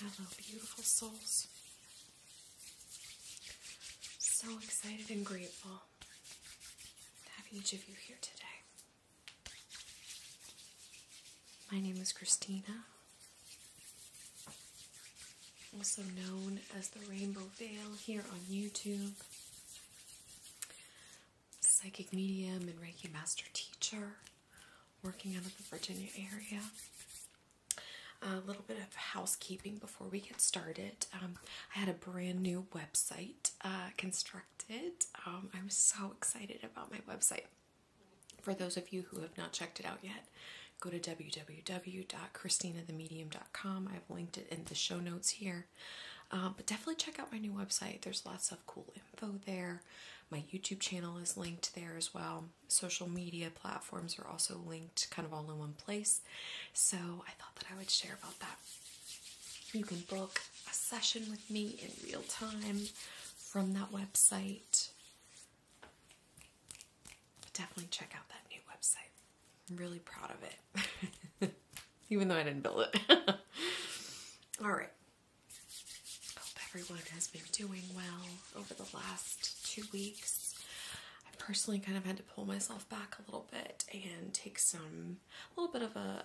Hello, beautiful souls. So excited and grateful to have each of you here today. My name is Christina, also known as the Rainbow Veil here on YouTube psychic medium and Reiki master teacher working out of the Virginia area. A little bit of housekeeping before we get started. Um, I had a brand new website uh, constructed. Um, I'm so excited about my website. For those of you who have not checked it out yet, go to www.cristinathemedium.com. I've linked it in the show notes here. Um, but definitely check out my new website. There's lots of cool info there. My YouTube channel is linked there as well. Social media platforms are also linked kind of all in one place. So I thought that I would share about that. You can book a session with me in real time from that website. But definitely check out that new website. I'm really proud of it. even though I didn't build it. All right. Hope everyone has been doing well over the last two weeks. I personally kind of had to pull myself back a little bit and take some, a little bit of a,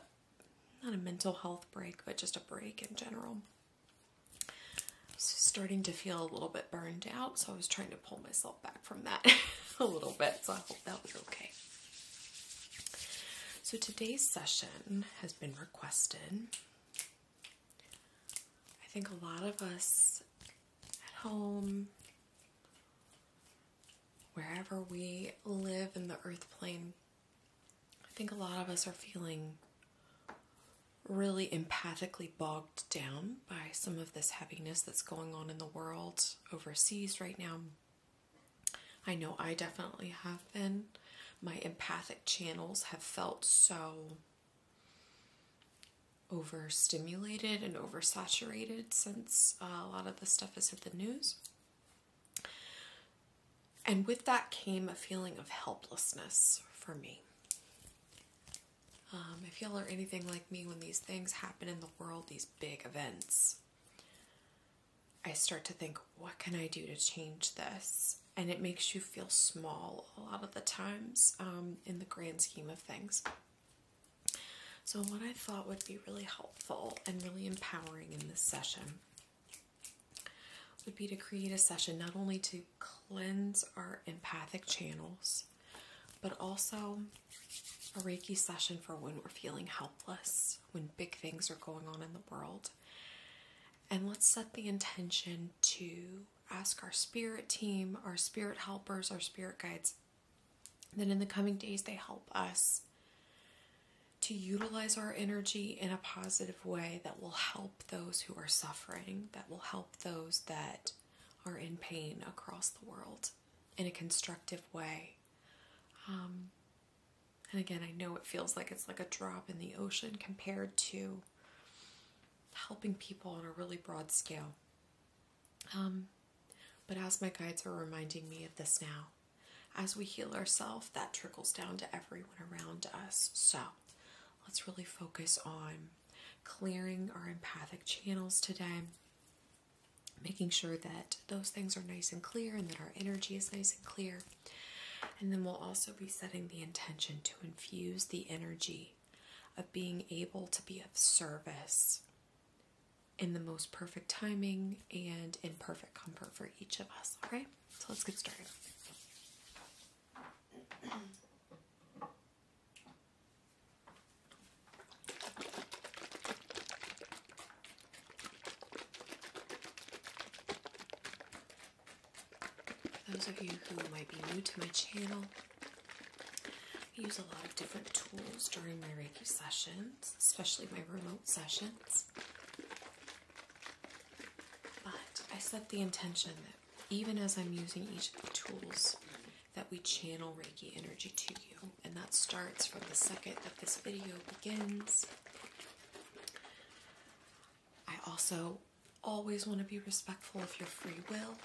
not a mental health break, but just a break in general. Starting to feel a little bit burned out, so I was trying to pull myself back from that a little bit, so I hope that was okay. So today's session has been requested. I think a lot of us at home, wherever we live in the earth plane, I think a lot of us are feeling really empathically bogged down by some of this heaviness that's going on in the world overseas right now. I know I definitely have been. My empathic channels have felt so overstimulated and oversaturated since uh, a lot of the stuff is at the news. And with that came a feeling of helplessness for me. Um, if y'all are anything like me, when these things happen in the world, these big events, I start to think, what can I do to change this? And it makes you feel small a lot of the times um, in the grand scheme of things. So, what I thought would be really helpful and really empowering in this session would be to create a session not only to cleanse our empathic channels, but also a Reiki session for when we're feeling helpless when big things are going on in the world. And let's set the intention to ask our spirit team, our spirit helpers, our spirit guides, that in the coming days they help us to utilize our energy in a positive way that will help those who are suffering, that will help those that are in pain across the world in a constructive way. Um, and again, I know it feels like it's like a drop in the ocean compared to helping people on a really broad scale. Um, but as my guides are reminding me of this now, as we heal ourselves, that trickles down to everyone around us. So let's really focus on clearing our empathic channels today, making sure that those things are nice and clear and that our energy is nice and clear. And then we'll also be setting the intention to infuse the energy of being able to be of service in the most perfect timing and in perfect comfort for each of us. All right, so let's get started. For those of you who might be new to my channel, I use a lot of different tools during my Reiki sessions, especially my remote sessions. But I set the intention that even as I'm using each of the tools, that we channel Reiki energy to you and that starts from the second that this video begins. I also always want to be respectful of your free will.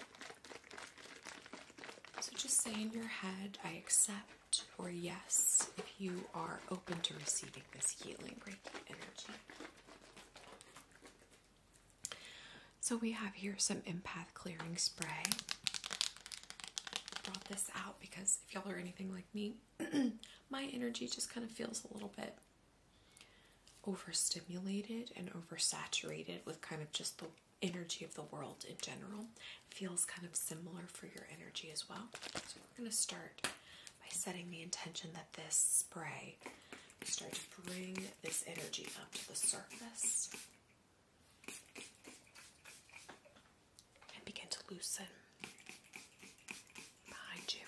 So just say in your head, I accept, or yes, if you are open to receiving this healing Reiki energy. So we have here some empath clearing spray. brought this out because if y'all are anything like me, my energy just kind of feels a little bit overstimulated and oversaturated with kind of just the energy of the world in general. feels kind of similar for your energy as well. So we're going to start by setting the intention that this spray start to bring this energy up to the surface and begin to loosen behind you,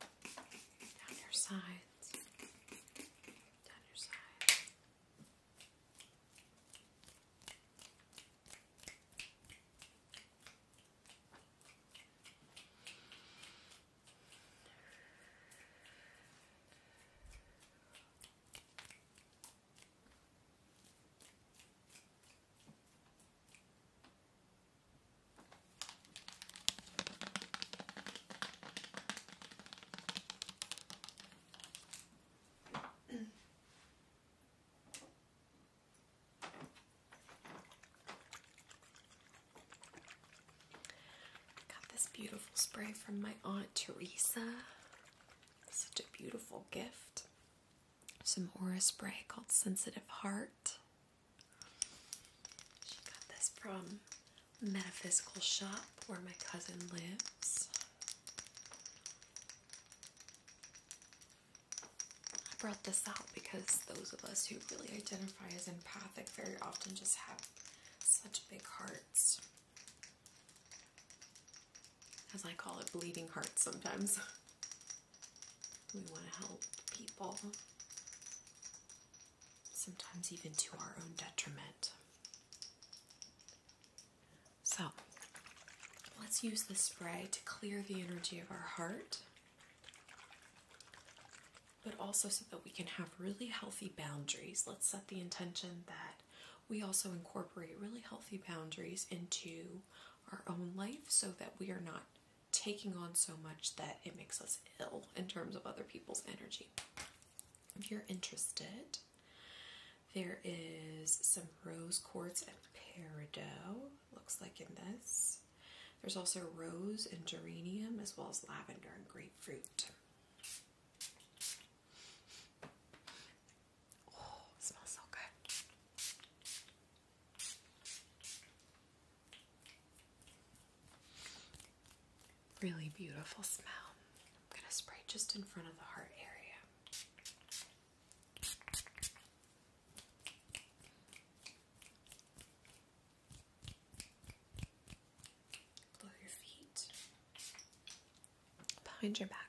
down your sides, down your sides. Got this beautiful spray from my Aunt Teresa. Such a beautiful gift some aura spray called Sensitive Heart. She got this from Metaphysical Shop where my cousin lives. I brought this out because those of us who really identify as empathic very often just have such big hearts as I call it, bleeding hearts sometimes. we want to help people, sometimes even to our own detriment. So, let's use this spray to clear the energy of our heart, but also so that we can have really healthy boundaries. Let's set the intention that we also incorporate really healthy boundaries into our own life so that we are not taking on so much that it makes us ill in terms of other people's energy. If you're interested, there is some rose quartz and peridot, looks like in this. There's also rose and geranium, as well as lavender and grapefruit. Oh, smells so good. Really beautiful smell. I'm going to spray just in front of the heart area. Blow your feet behind your back.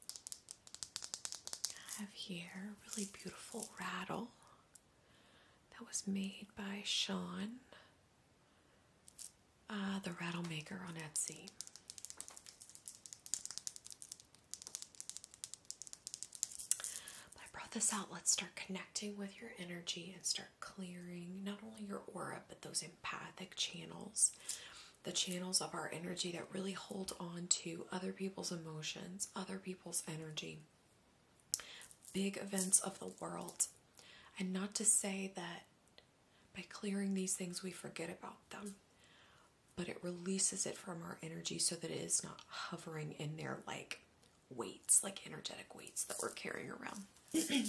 I have here a really beautiful rattle that was made by Sean, uh, the rattle maker on Etsy. I brought this out. Let's start connecting with your energy and start clearing not only your aura but those empathic channels the channels of our energy that really hold on to other people's emotions, other people's energy, big events of the world. And not to say that by clearing these things we forget about them, but it releases it from our energy so that it is not hovering in there like weights, like energetic weights that we're carrying around.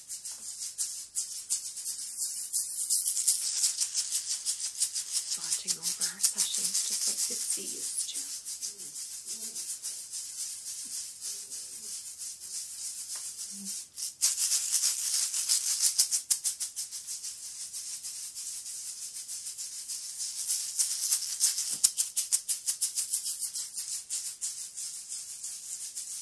Watching over our sessions just like the sea used to. Mm -hmm. All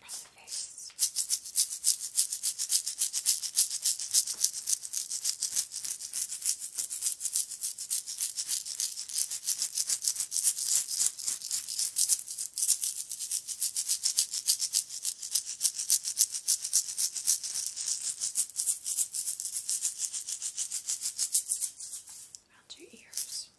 my face. Around your ears. Around your ears.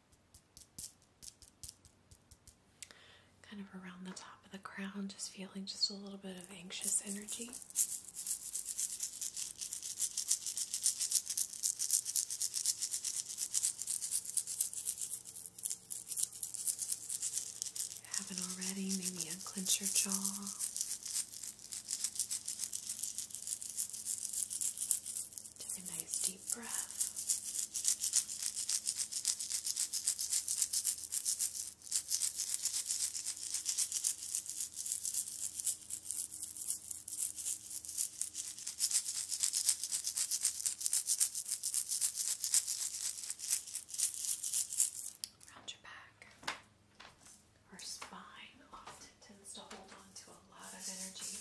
Kind of around the top of the crown, just feeling just a little bit of anxious energy. haven't already, maybe unclench your jaw. Take a nice deep breath. Round your back. Our spine often tends to hold on to a lot of energy.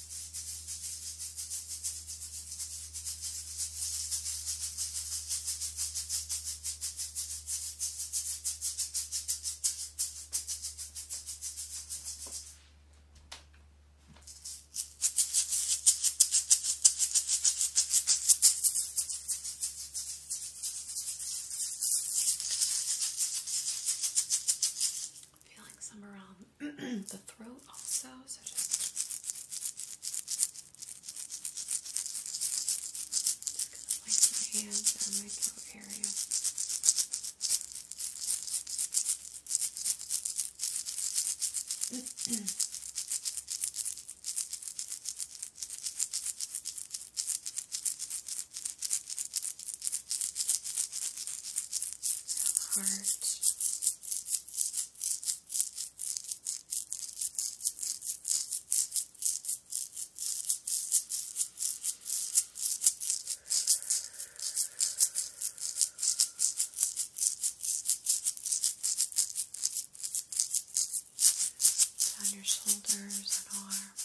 Feeling some around the throat also. So just, just my hands on my throat area. On your shoulders and arms.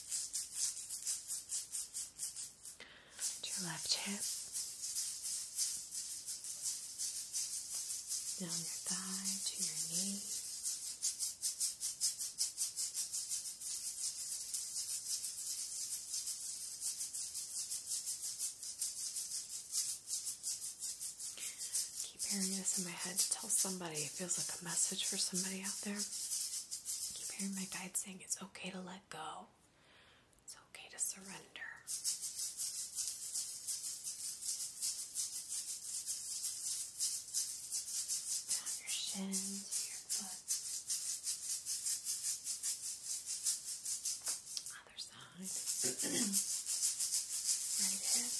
To your left hip, down your thigh to your knee. Keep hearing this in my head to tell somebody feels like a message for somebody out there. keep hearing my guide saying it's okay to let go. It's okay to surrender. Down your shins, your foot. Other side. right hip.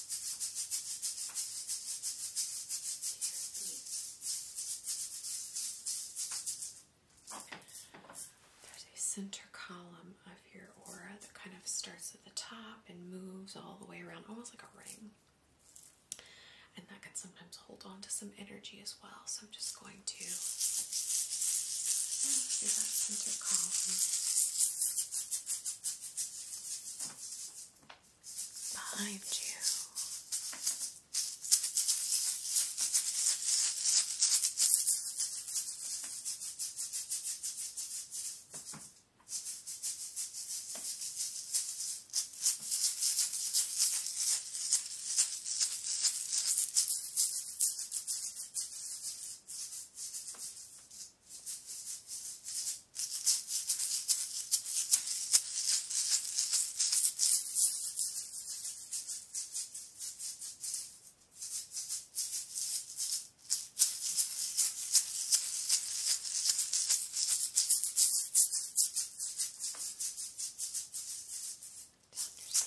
There's a center column of your aura that kind of starts at the top and moves all the way around, almost like a ring. And that can sometimes hold on to some energy as well. So I'm just going to oh, do that center column behind you.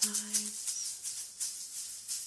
Down your sides.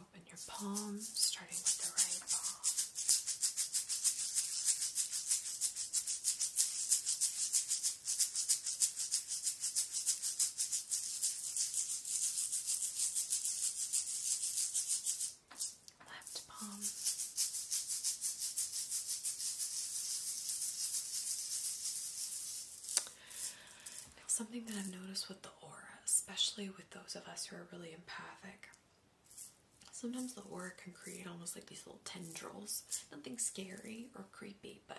Open your palm, starting with the right palm. Left palm something that I've noticed with the aura, especially with those of us who are really empathic, sometimes the aura can create almost like these little tendrils. Nothing scary or creepy, but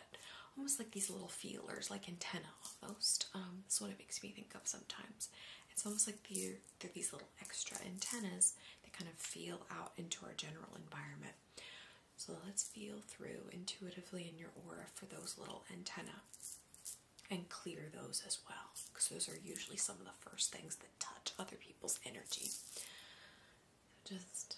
almost like these little feelers, like antenna almost. Um, that's what it makes me think of sometimes. It's almost like they're these little extra antennas that kind of feel out into our general environment. So let's feel through intuitively in your aura for those little antennae and clear those as well, because those are usually some of the first things that touch other people's energy. just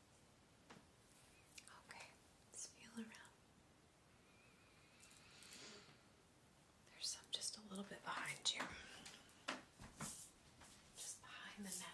Okay, let around. There's some just a little bit behind you. Just behind the neck,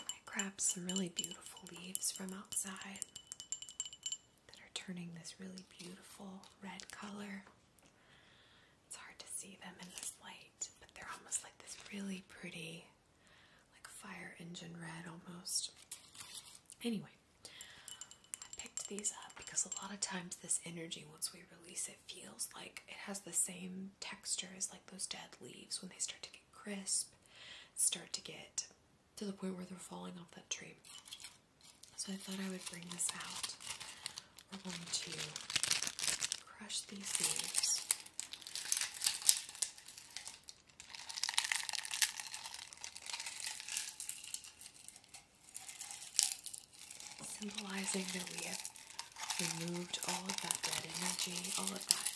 I grabbed some really beautiful leaves from outside that are turning this really beautiful red color. It's hard to see them in this light, but they're almost like this really pretty, like fire engine red almost. Anyway, I picked these up because a lot of times this energy, once we release it, feels like it has the same texture as like those dead leaves when they start to get crisp start to get to the point where they're falling off that tree. So I thought I would bring this out. We're going to crush these seeds, Symbolizing that we have removed all of that dead energy, all of that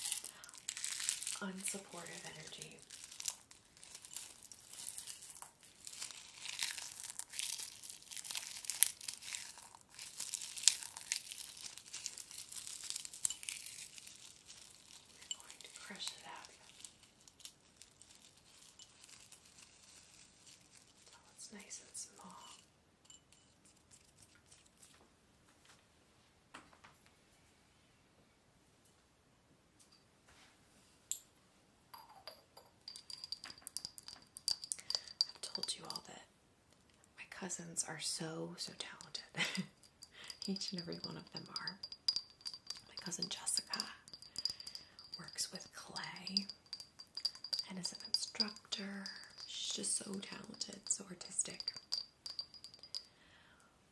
unsupportive energy. We're going to crush it out. So oh, it's nice and small. I've told you all that my cousins are so, so talented. Each and every one of them are. My cousin Jessica works with clay and is an instructor. She's just so talented, so artistic.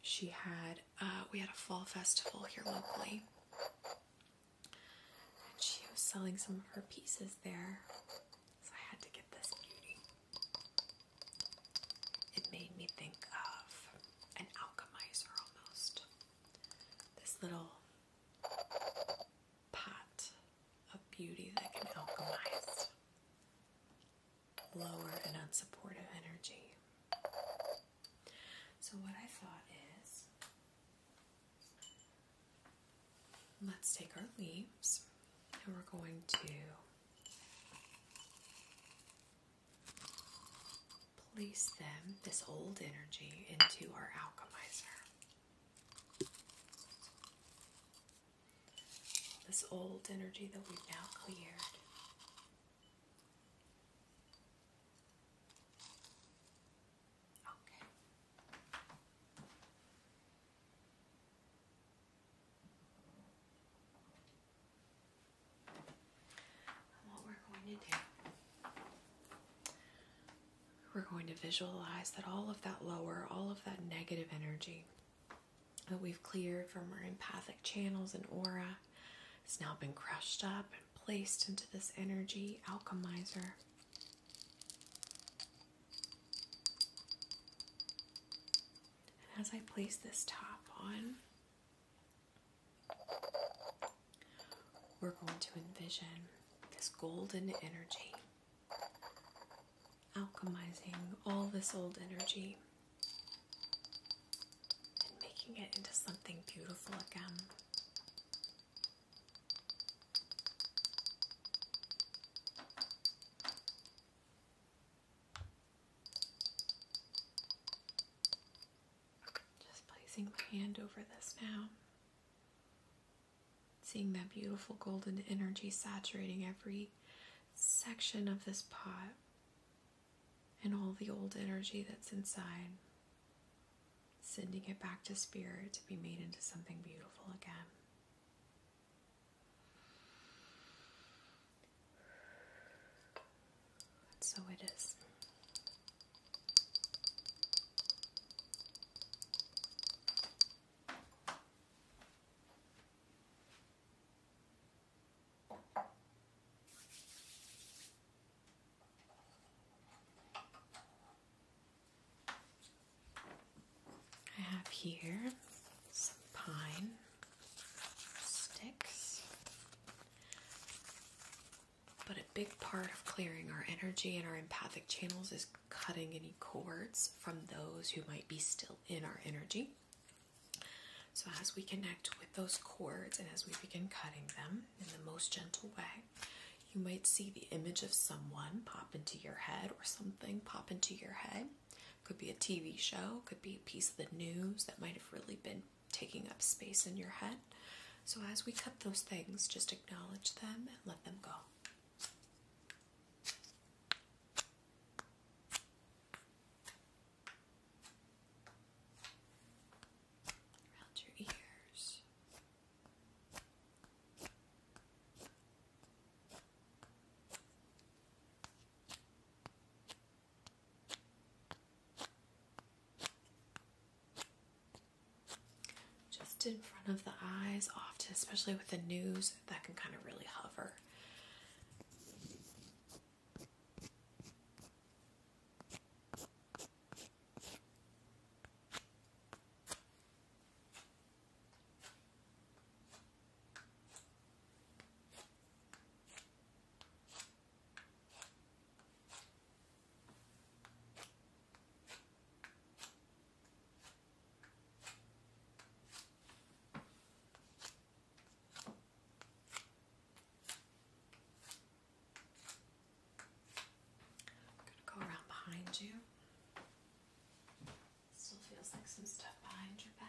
She had, uh, we had a fall festival here locally. And she was selling some of her pieces there. So I had to get this beauty. It made me think of an alchemizer almost. This little pot of beauty that can alchemize lower and unsupportive energy. So, what I thought is let's take our leaves and we're going to place them, this old energy, into our alchemizer this old energy that we've now cleared. Okay. what we're going to do, we're going to visualize that all of that lower, all of that negative energy that we've cleared from our empathic channels and aura. has now been crushed up and placed into this energy alchemizer. And as I place this top on, we're going to envision this golden energy alchemizing all this old energy and making it into something beautiful again. Just placing my hand over this now. Seeing that beautiful golden energy saturating every section of this pot and all the old energy that's inside, sending it back to spirit to be made into something beautiful again. so it is. I have here some pine sticks. But a big part of clearing our energy and our empathic channels is cutting any cords from those who might be still in our energy. So, as we connect with those cords and as we begin cutting them in the most gentle way, you might see the image of someone pop into your head or something pop into your head. Could be a TV show, could be a piece of the news that might have really been taking up space in your head. So, as we cut those things, just acknowledge them and let them go around your ears. Just in front of the eyes, often, especially with the news that can kind of really hover. I'm going to go around behind you. Still feels like some stuff behind your back.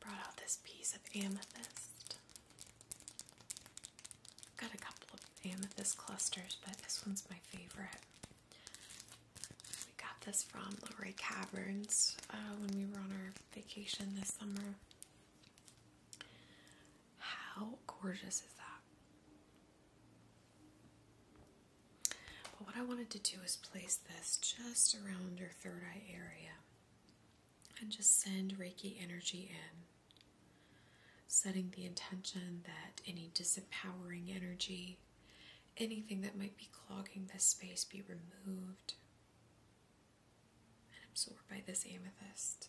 Brought out this piece of amethyst. Got a couple of amethyst clusters, but this one's my favorite. We got this from Luray Caverns uh, when we were on our vacation this summer. How gorgeous is that? But what I wanted to do is place this just around third eye area and just send Reiki energy in, setting the intention that any disempowering energy, anything that might be clogging this space, be removed and absorbed by this amethyst.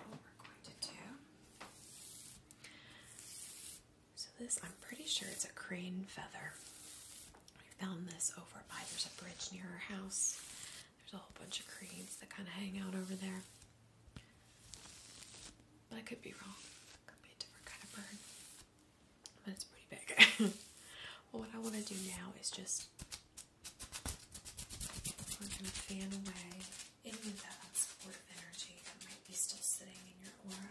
Now what we're going to do. So this, I'm pretty sure it's a crane feather. I found this over by there's a bridge near our house. There's a whole bunch of cranes that kind of hang out over there. But I could be wrong. could be a different kind of bird. But it's pretty big. what I want to do now is just we're going to fan away any of that supportive energy that might be still sitting in your aura.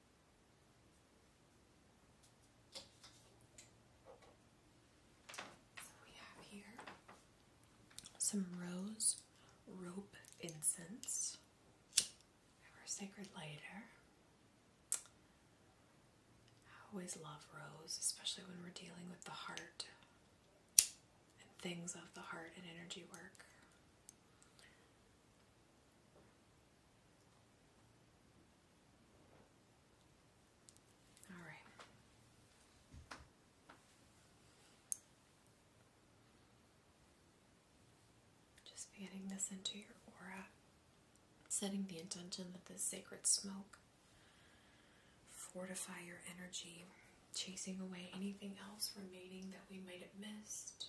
So we have here some rose rope incense, our sacred lighter. I always love rose, especially when we're dealing with the heart and things of the heart and energy work. All right. Just fanning this into your aura, setting the intention that this sacred smoke fortify your energy, chasing away anything else remaining that we might have missed.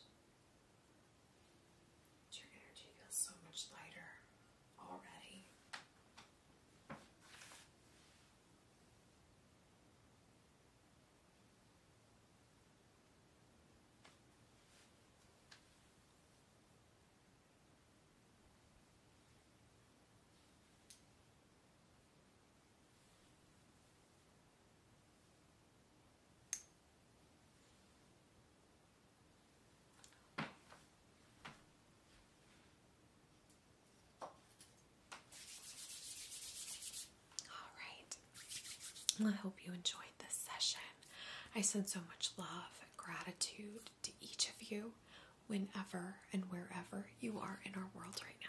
Your energy feels so much lighter already. All right. I hope you enjoyed this session. I send so much love and gratitude to each of you whenever and wherever you are in our world right now.